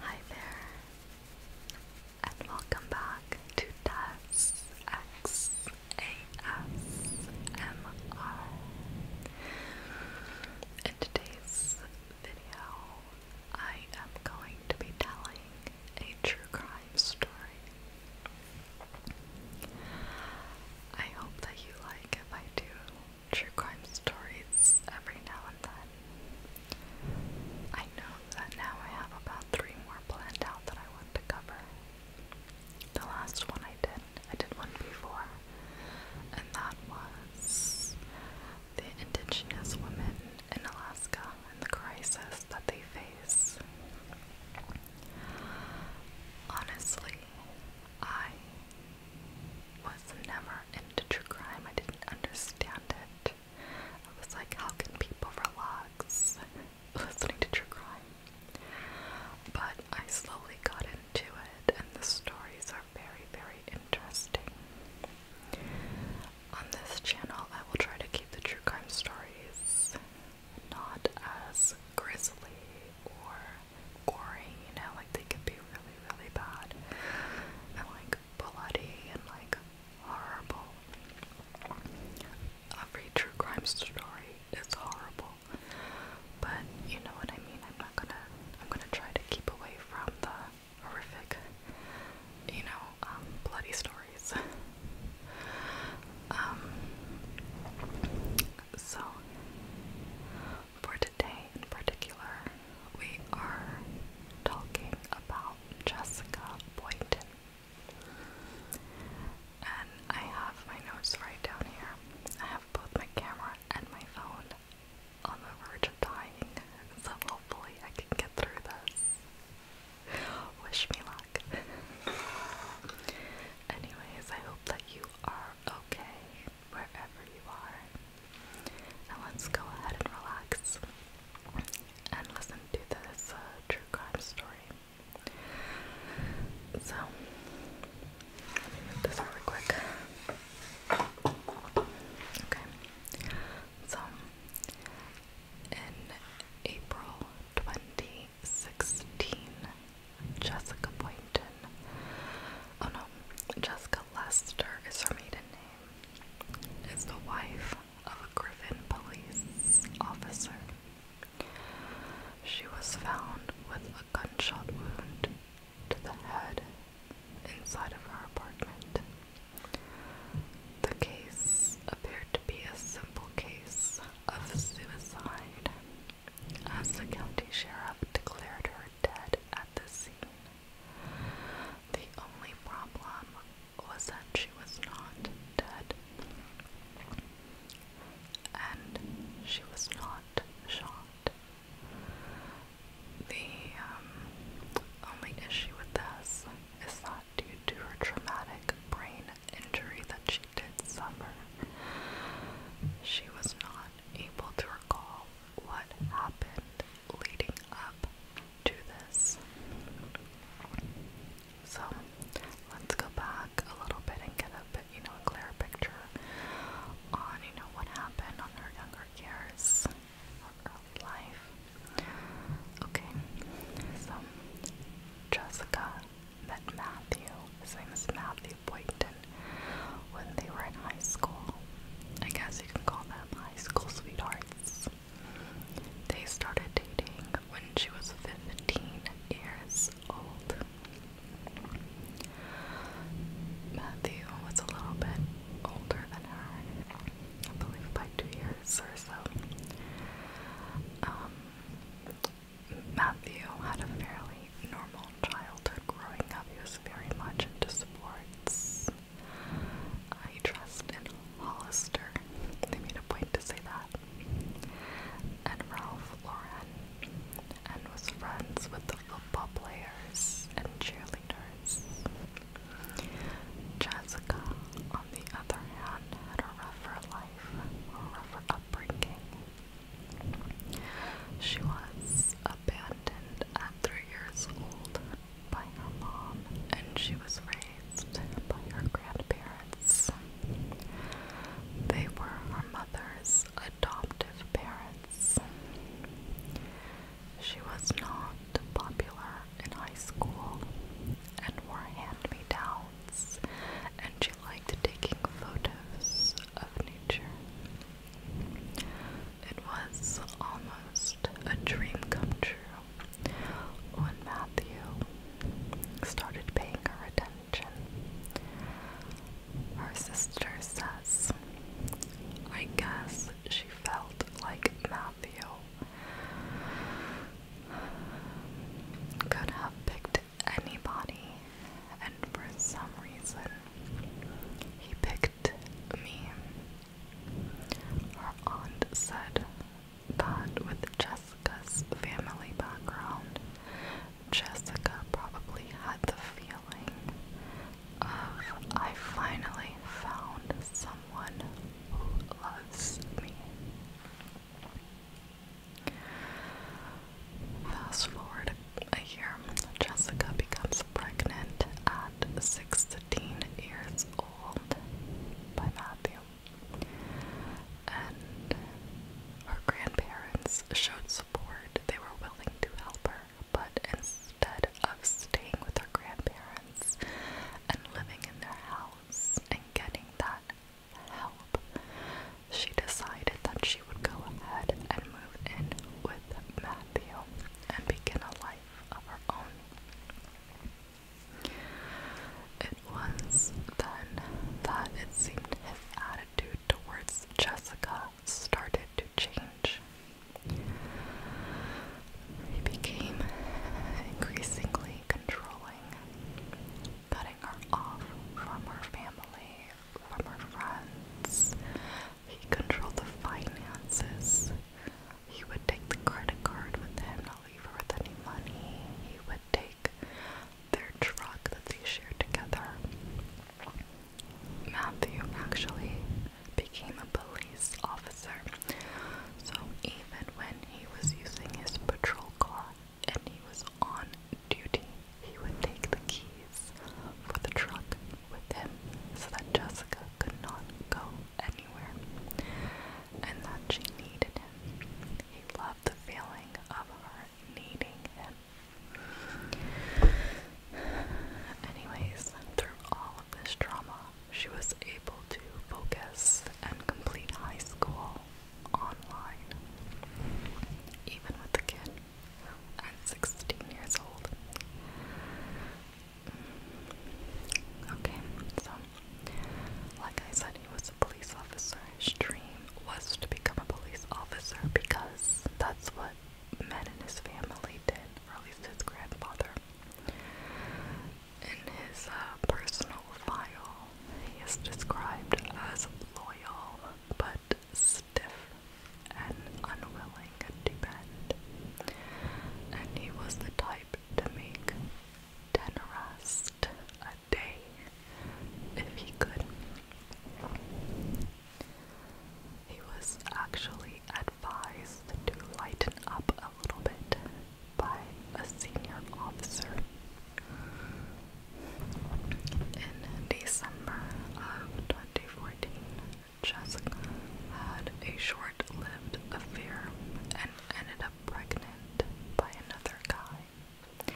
Hi there, and welcome back to Tess In today's video, I am going to be telling a true crime story. I hope that you like if I do true crime stories every now and then. I know that now I have about three more planned out that I want to cover. The last one I did, I did one before, and that was the indigenous women in Alaska and the crisis that they face. Honestly, I was never into crime. I didn't understand it. I was like, how can people relax listening to true crime? But I slowly got into it, and the stories are very, very interesting. On this channel, I will try to keep the true crime stories not as grisly or gory, you know, like they could be really, really bad and like bloody and like horrible. Every true crime story is horrible. But you know what I mean? I'm not gonna I'm gonna try to keep away from the horrific, you know, um, bloody stories. um so for today in particular, we are talking about Jessica Boynton. And I have my notes right down here. I have both my camera and my phone on the verge of dying, so hopefully I can get through this. Wish me luck. Anyways, I hope that you are okay wherever you are. And let's go ahead and relax and listen to this uh, true crime story. So, let me move this really quick. Okay. So, in April 2016, Jessica Boynton, oh no, Jessica Lester is her maiden name is the wife of a Griffin police officer. She was found with a gunshot wound to the head inside of her apartment. The case appeared to be a simple case of suicide, as the county sheriff declared her dead at the scene. The only problem was that she was not dead. And she was not shot. The um, only issue with this is that due to her traumatic brain injury that she did suffer, she was not able to recall what happened leading up to this. So let's go back a little bit and get a bit, you know, a clearer picture on, you know, what happened on her younger years, her early life. Okay, so Jessica met Matthew, his name is Matthew Boynton, when they were in high school. I guess you can call them high school sweethearts months. They started dating when she was 15 years old. Matthew was a little bit older than her, I believe by two years or so. Um, Matthew had a fairly normal childhood growing up. He was very much into sports, I trust in Hollister. They made a point to say that. And Ralph Lauren. And was friends with the football players and cheerleaders. Jessica, on the other hand, had a rougher life, a rougher upbringing. She was abandoned at three years old by her mom, and she was raised by her grandparents. They were her mother's adoptive parents. She was not popular in high school and wore hand-me-downs, and she liked taking photos of nature. It was almost almost a dream come true when Matthew started paying her attention. Her sister says, I guess she felt like Matthew could have picked anybody, and for some reason, he picked me. Her aunt said that with Jessica's family background, Jessica probably had the feeling of I finally found someone who loves me. Fast forward a year, Jessica becomes pregnant at 16 years old by Matthew, and her grandparents showed support. They were willing to help her, but instead of staying with her grandparents and living in their house and getting that help, she decided that she would go ahead and move in with Matthew and begin a life of her own. It was then that it seemed his attitude towards Jessica started to change. He became increasingly controlling, cutting her off from her family, from her friends. He controlled the finances, he would take the credit card with him, not leave her with any money. He would take their truck that they shared together. Matthew actually became a police officer. So even when he was using his patrol car and he was on duty, he would take the keys for the truck with him so that Jessica could not go anywhere, and that she needed him. He loved the feeling of her needing him. Anyways, through all of this drama, she was able to focus and complete high school online, even with the kid at 16 years old. Okay, so like I said, he was a police officer. His dream was to become a police officer because that's what men in his family did, or at least his grandfather. In his uh, personal file, he is described as loyal but stiff and unwilling traveling and he was the type to make ten arrests a day if he could. He was actually advised to lighten up a little bit by a senior officer. In December of 2014, Jessica had a short lived affair and ended up pregnant by another guy.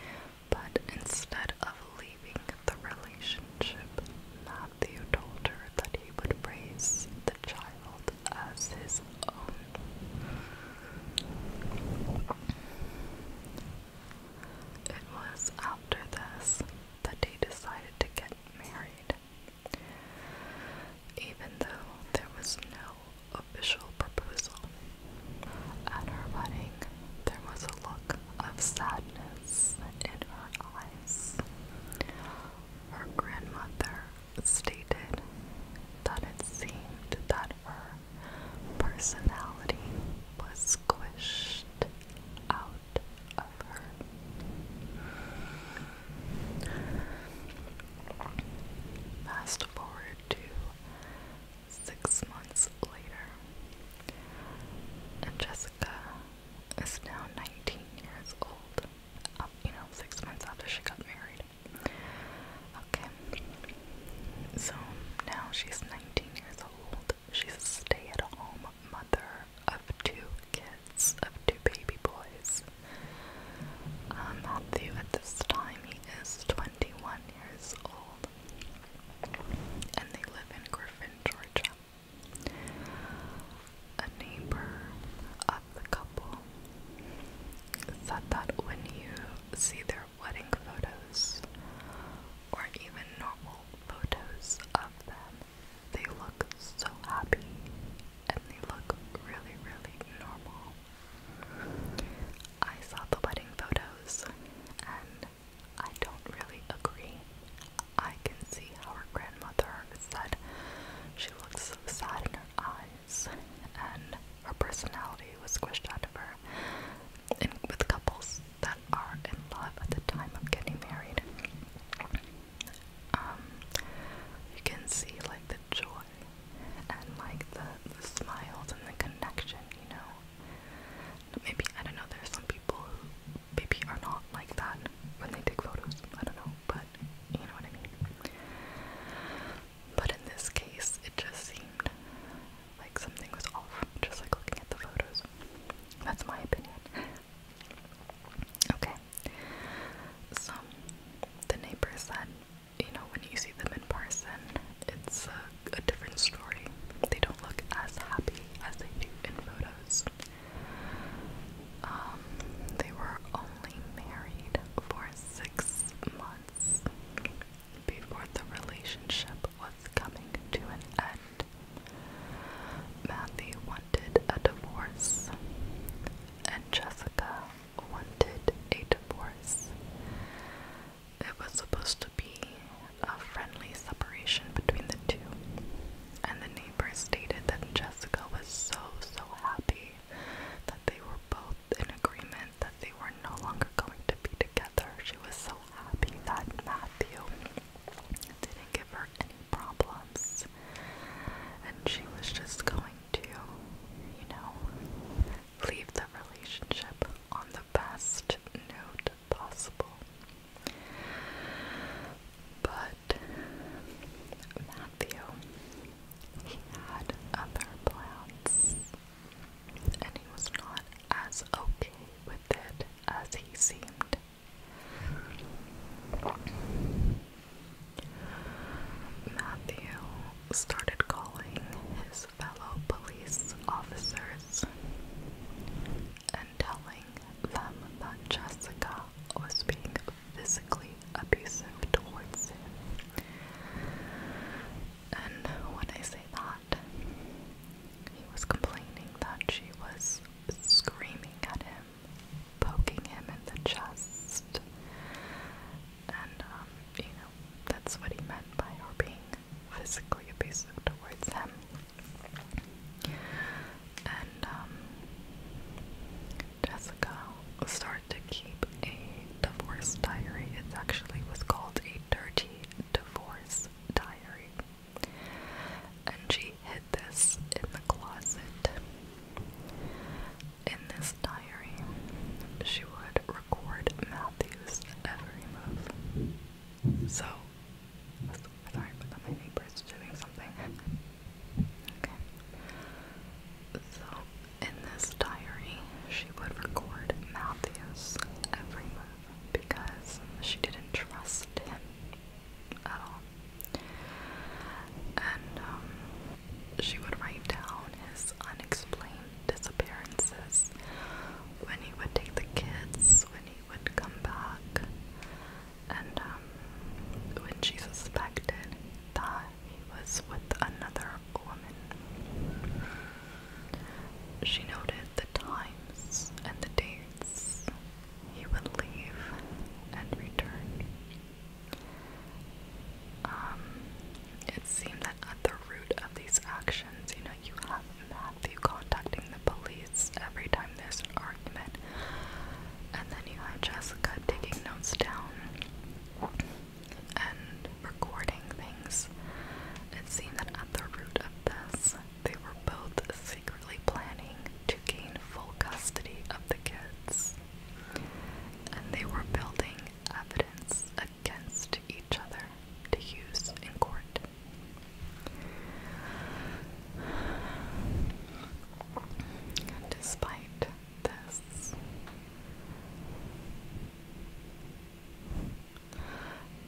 But instead of leaving the relationship, Matthew told her that he would raise the child as his own. It was after this that they decided to get married even though there was no official proposal. At her wedding, there was a look of sadness in her eyes. Her grandmother stated that it seemed that her personality was squished out of her. Fast forward to six months later, and Jessica is now 19 years old. Uh, you know, six months after she got married. Okay, so now she's 19 years old. She's a stay at home mother of two kids of two baby boys. Um, Matthew, at this time, he is 21 years old, and they live in Griffin, Georgia. A neighbor of the couple said that when you see their wedding photos, or even normal photos of them, they look so happy and they look really, really normal. I saw the wedding photos and I don't really agree. I can see how her grandmother said she looks sad in her eyes and her personality was squished out of her. And with couples that are in love at the time of getting married, um, you can see like the joy and like the, the smiles and the connection, you know. Maybe I don't know. There's some people who maybe are not like that when they take photos. I don't know, but you know what I mean. But in this case, it just seemed like something was off, just like looking at the photos. That's my opinion. Okay, so the neighbor said, you know, when you see them in person, it's a, a different story. They don't look as happy as they do in photos. Um, they were only married for six months before the relationship was coming to an end. Matthew wanted a divorce, and Jessica wanted a divorce. It was supposed to be a friendly separation between the two, and the neighbors stated that Jessica was so, so happy that they were both in agreement that they were no longer going to be together. She was so happy that Matthew didn't give her any problems and she was just going to, you know, leave the relationship on the best note possible. But Matthew, he had other plans, and he was not as okay with it as he seemed Matthew started calling his fellow police officers and telling them that Jessica was being physically abusive towards him. And when I say that, he was complaining that she was screaming at him poking him in the chest. And, um, you know, that's what he meant by her being physically abusive towards him. And, um, Jessica started to keep a divorce diary. It actually was called a dirty divorce diary. And hid this in the closet. In this diary, she would record Matthew's every move. So, sorry, but my neighbor's doing something. Okay. So, in this diary, she would record Matthew's every move because she didn't trust him at all. And um, she would write down his unexplained disappearances when he would take the kids, when he would come back, and um, when she suspected that he was with another woman. She noted the times and the dates he would leave and return. Um, it seemed that at the root of these actions, you know, you have Matthew contacting the police every time there's an argument, and then you have Jessica taking notes down and recording things. It seemed that at the root of this, they were both secretly planning to gain full custody of the kids, and they were building evidence against each other to use in court. despite this,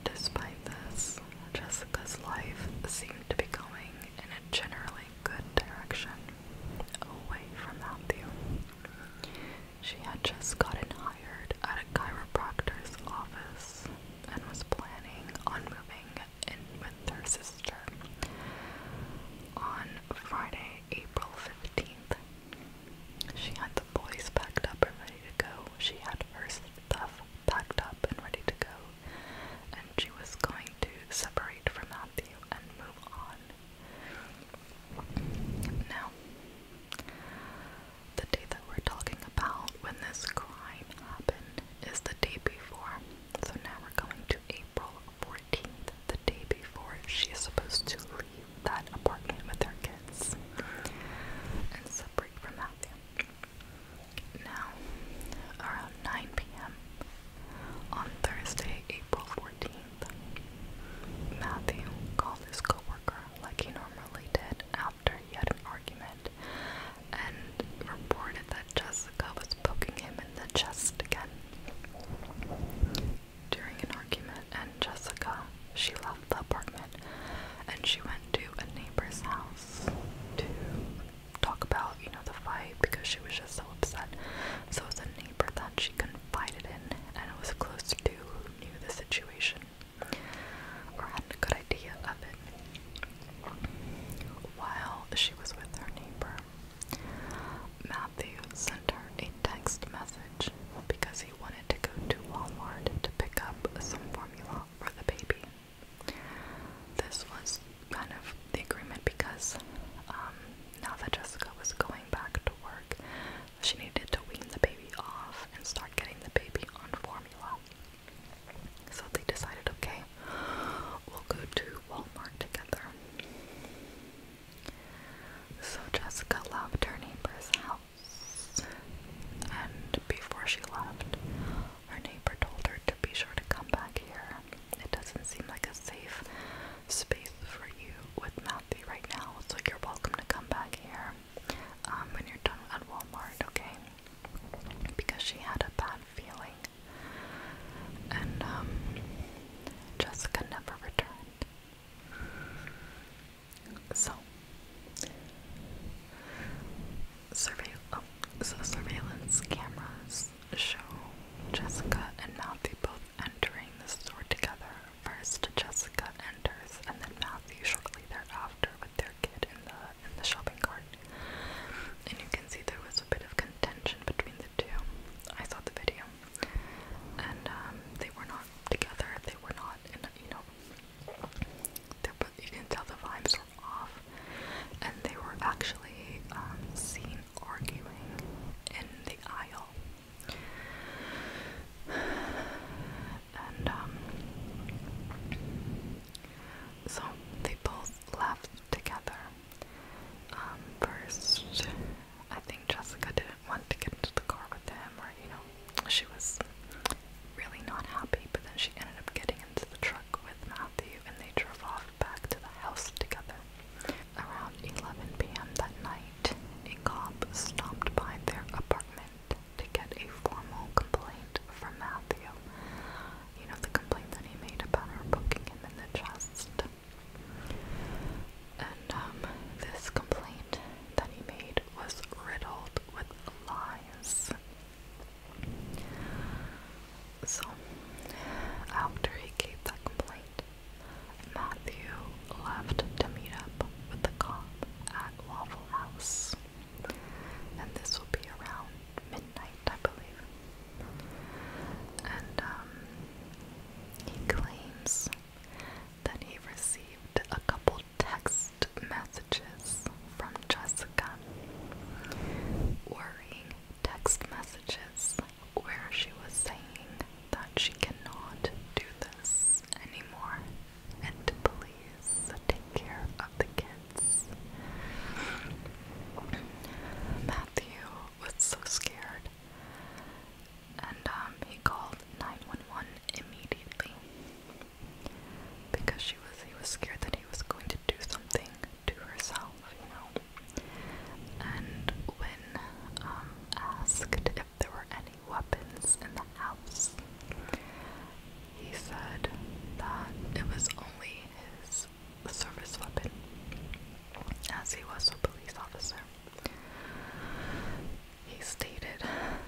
despite this, Jessica's life seemed to be going in a generally good direction, away from Matthew. She had just gotten hired at a chiropractor's office and was planning on moving in with her sister. On Friday, April 15th, she had the boys packed up and ready to go. She had her stuff packed up and ready to go, and she was going to separate from now, the day that we're talking about when this crime happened is the day before. So now we're going to April 14th, the day before she is supposed to leave that apartment with her kids and separate from Matthew. Now, around 9 p.m., on Thursday, April 14th, Matthew called his coworker like he normally did after he had an argument and reported that Jessica was poking him in the chest again. During an argument and Jessica, she left the apartment and she went to a neighbor's house to talk about, you know, the fight because she was just so upset. So it was a neighbor that she confided in and was close to who knew the situation or had a good idea of it. While she was with her neighbor, Matthew sent her a text message because he wanted to go to Walmart to pick up some formula for the baby. This was kind of the agreement because um, now that Jessica was going back to work, she needed to wean the baby off and start getting the baby on formula. So they decided, okay, we'll go to Walmart together. So Jessica left her neighbor's house, and before she left, her neighbor told her to be sure to come back here. It doesn't seem like a safe space for you with Matthew right now, It's like you're welcome to come back here um, when you're done at Walmart, okay? Because she had a bad feeling. And um, Jessica never returned. So, surveil oh, so surveillance cameras this show, Jessica and Matthew both entering the store together. First, Jessica enters, and then Matthew shortly thereafter with their kid in the in the shopping cart. And you can see there was a bit of contention between the two. I saw the video, and um, they were not together. They were not, in a, you know, they you can tell the vibes were off, and they were actually um, seen arguing in the aisle. And um, so they both left together. Um, first, I think Jessica didn't want to get into the car with him, or you know, she was really not happy, but then she ended up getting into the truck with Matthew and they drove off back to the house together. Around 11 p.m. that night, a cop stopped by their apartment to get a formal complaint from Matthew. You know, the complaint that he made about her poking him in the chest. And um, this complaint that he made was riddled with lies. So, after he gave that complaint, Matthew left to meet up with the cop at Waffle House. And this will be around midnight, I believe. And um, he claims that he received a couple text messages from Jessica. Worrying text messages where she was saying that she cannot do this anymore and please take care of the kids. Matthew was so scared and um, he called 911 immediately because she was he was scared that he was going to do something to herself, you know. And when um, asked if there were any weapons in the house, he said that it was only his service weapon, as he was a police officer. He stated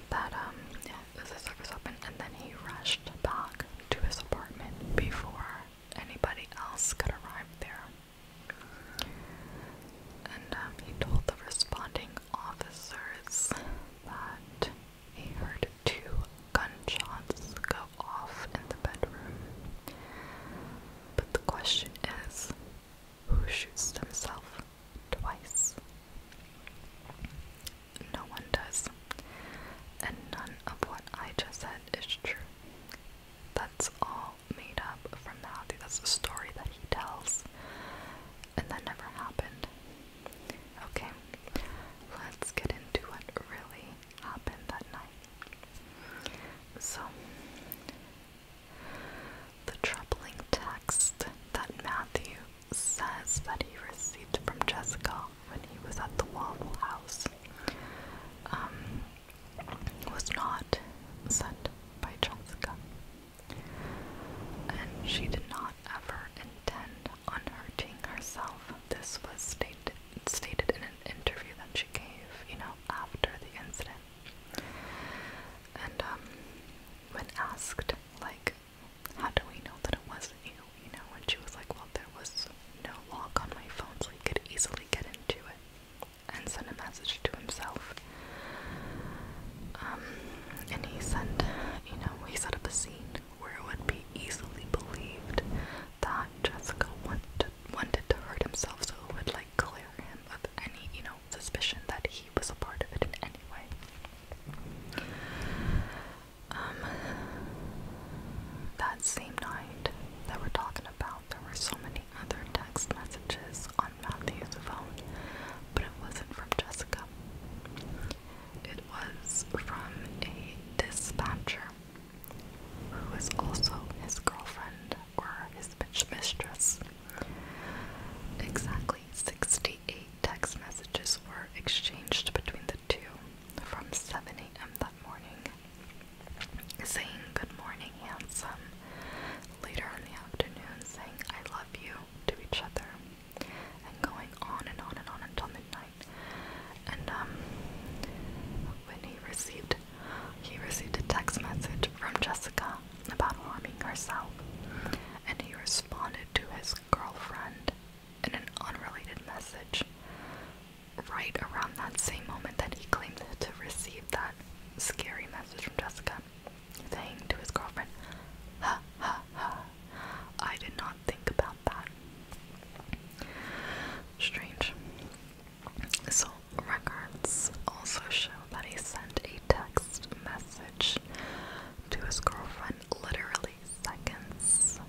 that um, yeah, it was a service weapon, and then he rushed back to his apartment before anybody else could arrive there. And um, he told the responding officers that he heard two gunshots go off in the bedroom. But the question is who shoots themselves twice? No one does. And none of what I just said is true that's all made up from Matthew. That's the story that he tells. And that never happened. Okay, let's get into what really happened that night. So, the troubling text that Matthew says that he received from Jessica when he was at the Waffle House. Um, was not sent by Jessica, and she did not ever intend on hurting herself. This was stated stated in an interview that she gave, you know, after the incident. And um, when asked, like, how do we know that it wasn't you? You know, when she was like, well, there was no lock on my phone so he could easily get into it and send a message to himself. Um, and he sent, you know, he set up a scene where it would be easily believed that Jessica wanted, wanted to hurt himself so it would, like, clear him of any, you know, suspicion that he was a part of it in any way. Um, that same night that we're talking about, there were so many other text messages on Matthew's phone, but it wasn't from Jessica. It was from a dispatcher who was also his girlfriend or his bitch mistress. Exactly 68 text messages were exchanged between the two from 7 a.m. that morning saying good morning, handsome. Later in the afternoon, saying I love you to each other, and going on and on and on until midnight. And um, when he received, he received a text message from Jessica about harming herself, and he responded to his girlfriend in an unrelated message right around that same moment that he claimed to receive that scary message from Jessica, saying to his girlfriend, Ha ha ha, I did not think about that. Strange. So, records also show that he sent a text message to his girlfriend literally seconds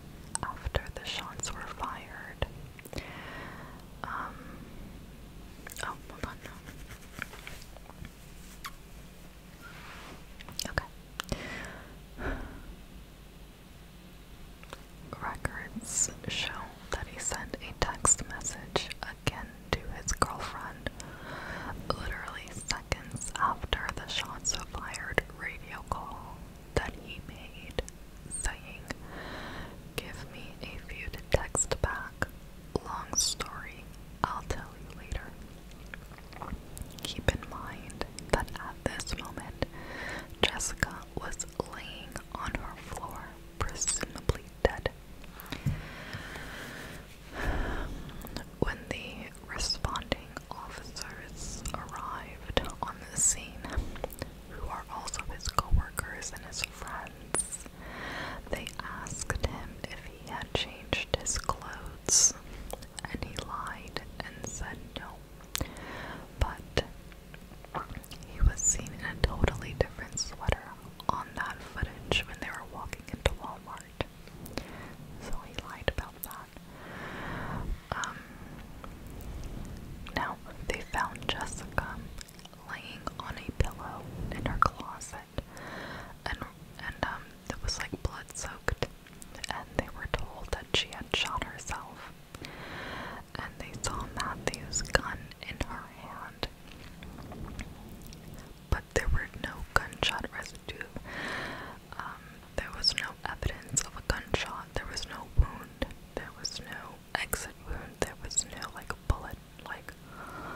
after the shots were fired um, oh, hold on now. Records show that he sent a text message again to his girlfriend literally seconds after the shots of fired radio call that he made, saying, Give me a few to text back. Long story, I'll tell you later. Keep in mind that at this moment, Jessica was laying on her floor, presumably dead. When the responding officers arrived on the scene, who are also his coworkers and his friends. They asked him if he had changed his clothes, and he lied and said no. But he was seen in a totally different sweater on that footage when they were walking into Walmart. So he lied about that. Um, now they found Jessica laying on a pillow in her closet, and and um, it was like blood soaked, and they were told that she had shot herself, and they saw Matthew's gun in her hand, but there were no gunshot residue. Um, there was no evidence of a gunshot. There was no wound. There was no exit wound. There was no like bullet. Like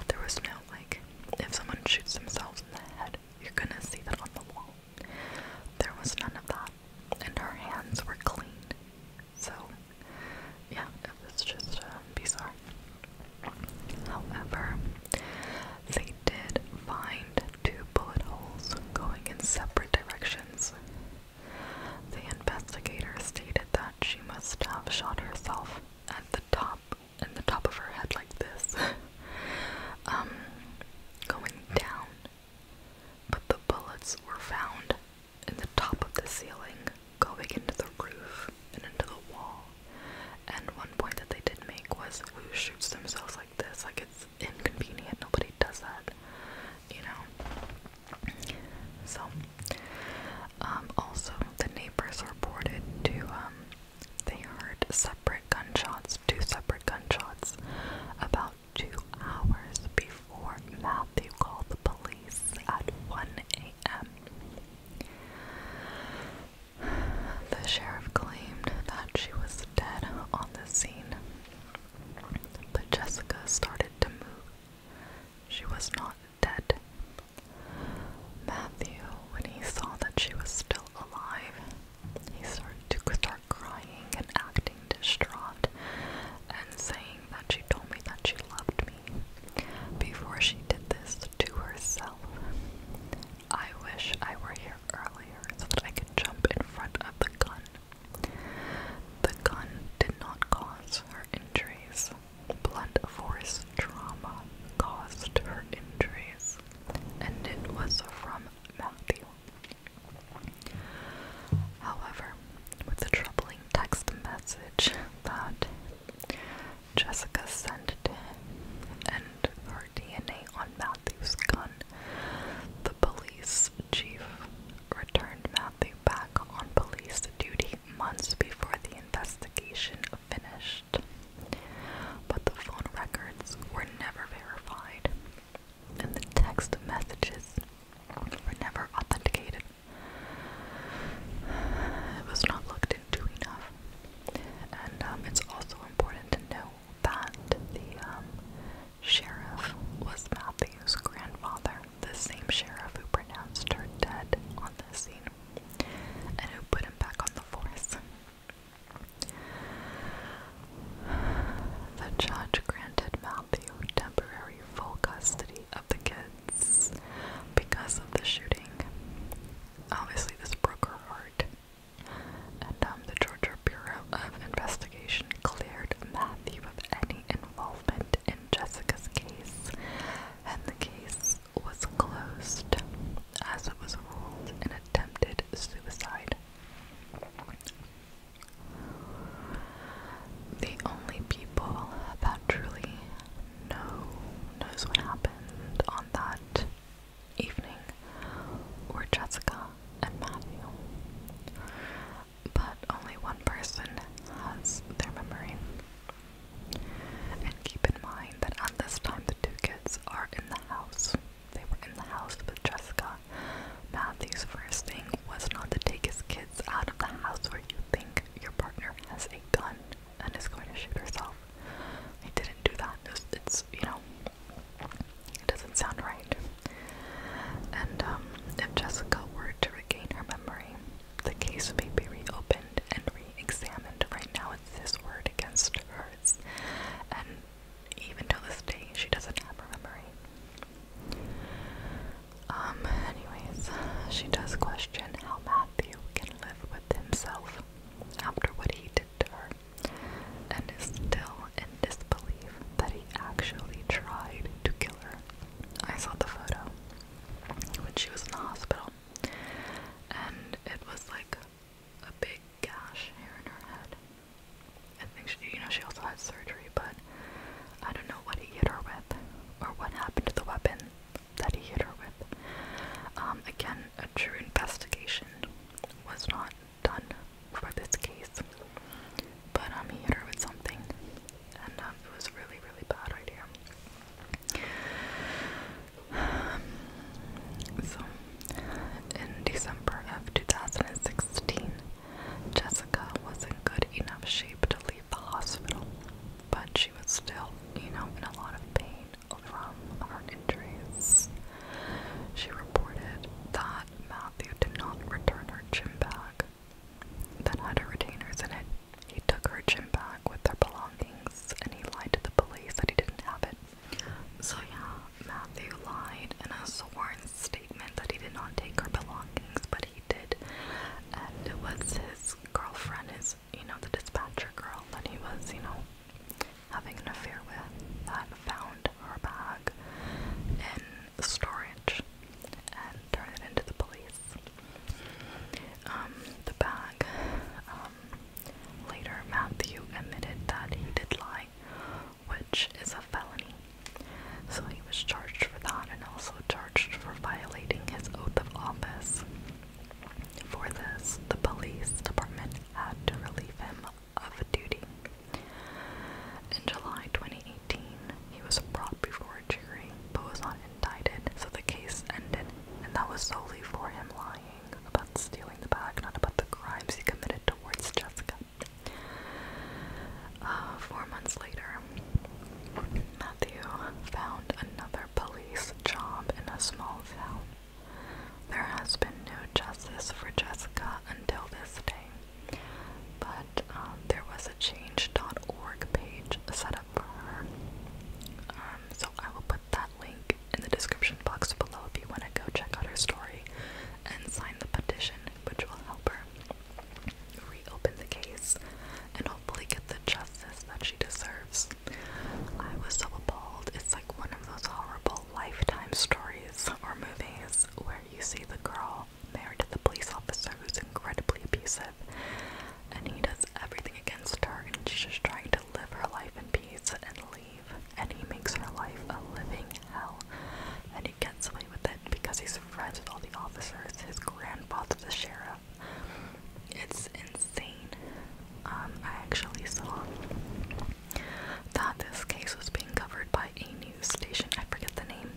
there was no like if someone shoots themselves in the head, you're gonna see that on the wall. There was none of that, and her hands were clean. So yeah, it was just of uh, art. However, they did find two bullet holes going in separate directions the investigator stated that she must have shot herself at the top, in the top of her head like this, um, going down. But the bullets were found in the top of the ceiling, going into the roof and into the wall. And one point that they did make was who shoots themselves like this? Like it's inconvenient. Nobody does that, you know. So, um, also the neighbors reported to, um, they heard separate gunshots, two separate gunshots, about two hours before Matthew called the police at 1 a.m. The sheriff claimed that she was dead on the scene, but Jessica started to move she was not dead. Matthew, when he saw that she was still alive, he started to start crying and acting distraught and saying that she told me that she loved me before she did this to herself. I wish I were here earlier so that I could jump in front of the gun the gun did not cause her injuries. Blunt force trauma caused her injuries, and it was from Matthew. However, with the troubling text message that Jessica sent to him and her DNA on Matthew's gun, the police chief returned Matthew Matthew back on police duty months before the investigation finished. But the phone records were never verified, and the text messages were never authenticated. It was not looked into enough. And um, it's also important to know that the um, sheriff was Matthew's grandfather, the same sheriff who pronounced her dead on the scene and who put him back on the force. The judge granted Matthew temporary full custody of the kids because of the shooting. Obviously, this broke her heart. And um, the Georgia Bureau of Investigation cleared Matthew of any involvement in Jessica's case, and the case was closed as it was ruled an attempted suicide. The only people that truly know knows what happened on that evening were Jessica and Matthew but only one person has their memory. And keep in mind that at this time the two kids are in the house. They were in the house with Jessica. Matthew's first thing was not to take his kids out of the house where you think your partner has a gun and is going to shoot herself. He didn't do that. it's you know, it doesn't sound right. And um, if Jessica were to regain her memory, the case may be reopened and re-examined. Right now, it's this word against hers, and even till this day, she doesn't have her memory. Um, anyways, she does question how Matthew can live with himself after what he did to her, and is still in disbelief that he actually tried to kill her. I saw the photo when she was in the hospital, and it was like a big gash here in her head. I think she, you know, she also had surgery, but I don't know what he hit her with or what happened to the weapon that he hit her with. Um, again, a true investigation was not done for this case. But um, he hit with something, and um, it was a really, really bad idea. so, in December of 2016, Jessica was in good enough shape to leave the hospital, but she was still, you know, in a lot of pain from her injuries. She reported that Matthew did not return her gym bag that had her retainers in it. He took her gym bag with their belongings and he lied to the police that he didn't have it. So, yeah, Matthew lied in a sworn statement that he did not take her belongings, but he did. And it was his girlfriend, his, you know, the dispatcher girl that he was, you know, having an affair with, that found her bag in storage and turn it into the police. Um, the bag. Um, later, Matthew admitted that he did lie, which is a felony. So he was charged for that and also charged for violating his oath of office. For this, the police department had to relieve him of duty. In July 2018, he was out before cheering, but was not indicted, so the case ended, and that was solely for him lying about stealing the bag, not about the crimes he committed towards Jessica. Uh, four months later, Matthew found another police job in a small town. There has been no justice for Jessica until this day. But um, there was a change.org page set up for her. Um, so I will put that link in the description box below if you want to go check out her story and sign the petition, which will help her reopen the case and hopefully get the justice that she deserves. I was so appalled. It's like one of those horrible lifetime stories or movies where you see the girl married to the police officer who's incredibly abusive, and he does everything against her, and she's just trying to live her life in peace and leave. And he makes her life a living hell, and he gets away with it because he's friends with all the officers. His grandfather's a sheriff. It's insane. Um, I actually saw that this case was being covered by a news station. I forget the name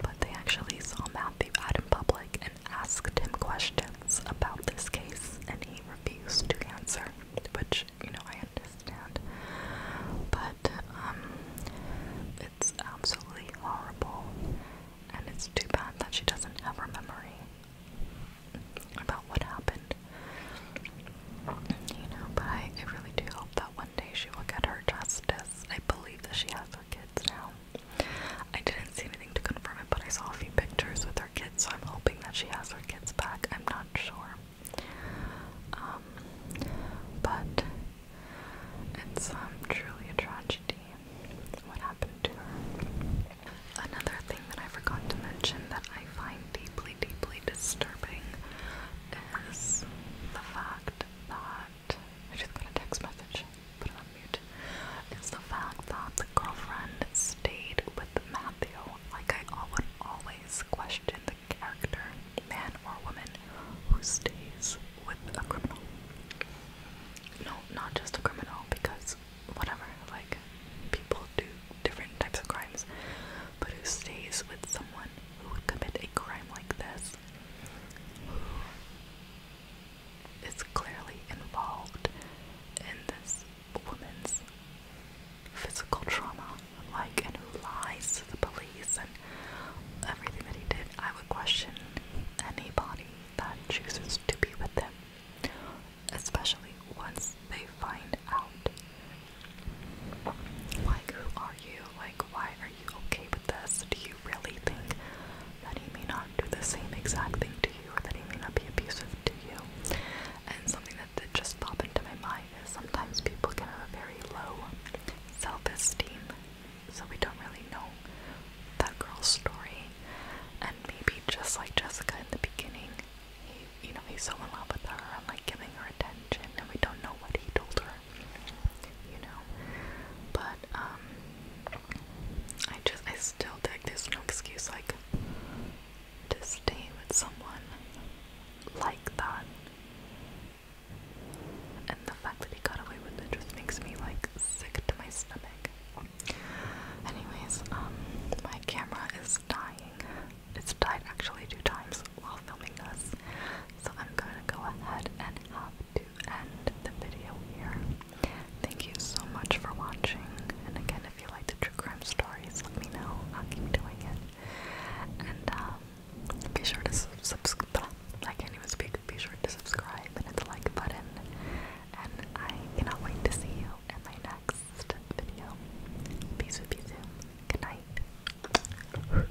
but they actually saw Matthew out in public and asked him questions about this case, and he refused to answer, which, you know, I understand. But, um, it's absolutely horrible, and it's too bad that she doesn't have her memory about what happened. You know, but I, I really do hope that one day she will get her justice I believe that she has her kids now. I didn't see anything to confirm it, but I saw a few pictures with her kids, so I'm hoping that she has her kids back. I'm not sure. Um, but it's um, truly a tragedy what happened to her. Another thing that I forgot to mention that I find deeply, deeply disturbing is the fact that that I just got a text message, put it on mute. It's the fact that the girlfriend stayed with Matthew. Like I would always question the character, man or woman, who stays with a criminal. No, not just a criminal, because whatever, like people do different types of crimes, but who stays with someone who would commit a crime like this who is clearly involved in this woman's physical trauma, like, and who lies to the police and everything that he did. I would question anybody that chooses to be with them, especially once they find out. Like, who are you? Like, why are you okay with this? Do you really think that he may not do the same exact thing to you or that he may not be abusive to you? And something that did just pop into my mind is sometimes people can have a very low self esteem, so we don't really know that girl's story. And maybe just like Jessica in the beginning, he, you know, he's so in love with her and like giving her attention, and we don't know what he told her you know. But um, I just I still think there's no excuse like to stay with someone like that. And the fact that he got away with it just makes me like sick to my stomach. Anyways, um, my camera is dying. It's died actually two times while filming this. So I'm gonna go ahead and have to end the video here. Thank you so much for watching, and again, if you like the true crime stories, let me know. I'll keep doing it. And um, be sure to subscribe. I can't even speak. Be sure to subscribe and hit the like button. And I cannot wait to see you in my next video. Peace, peace, good night.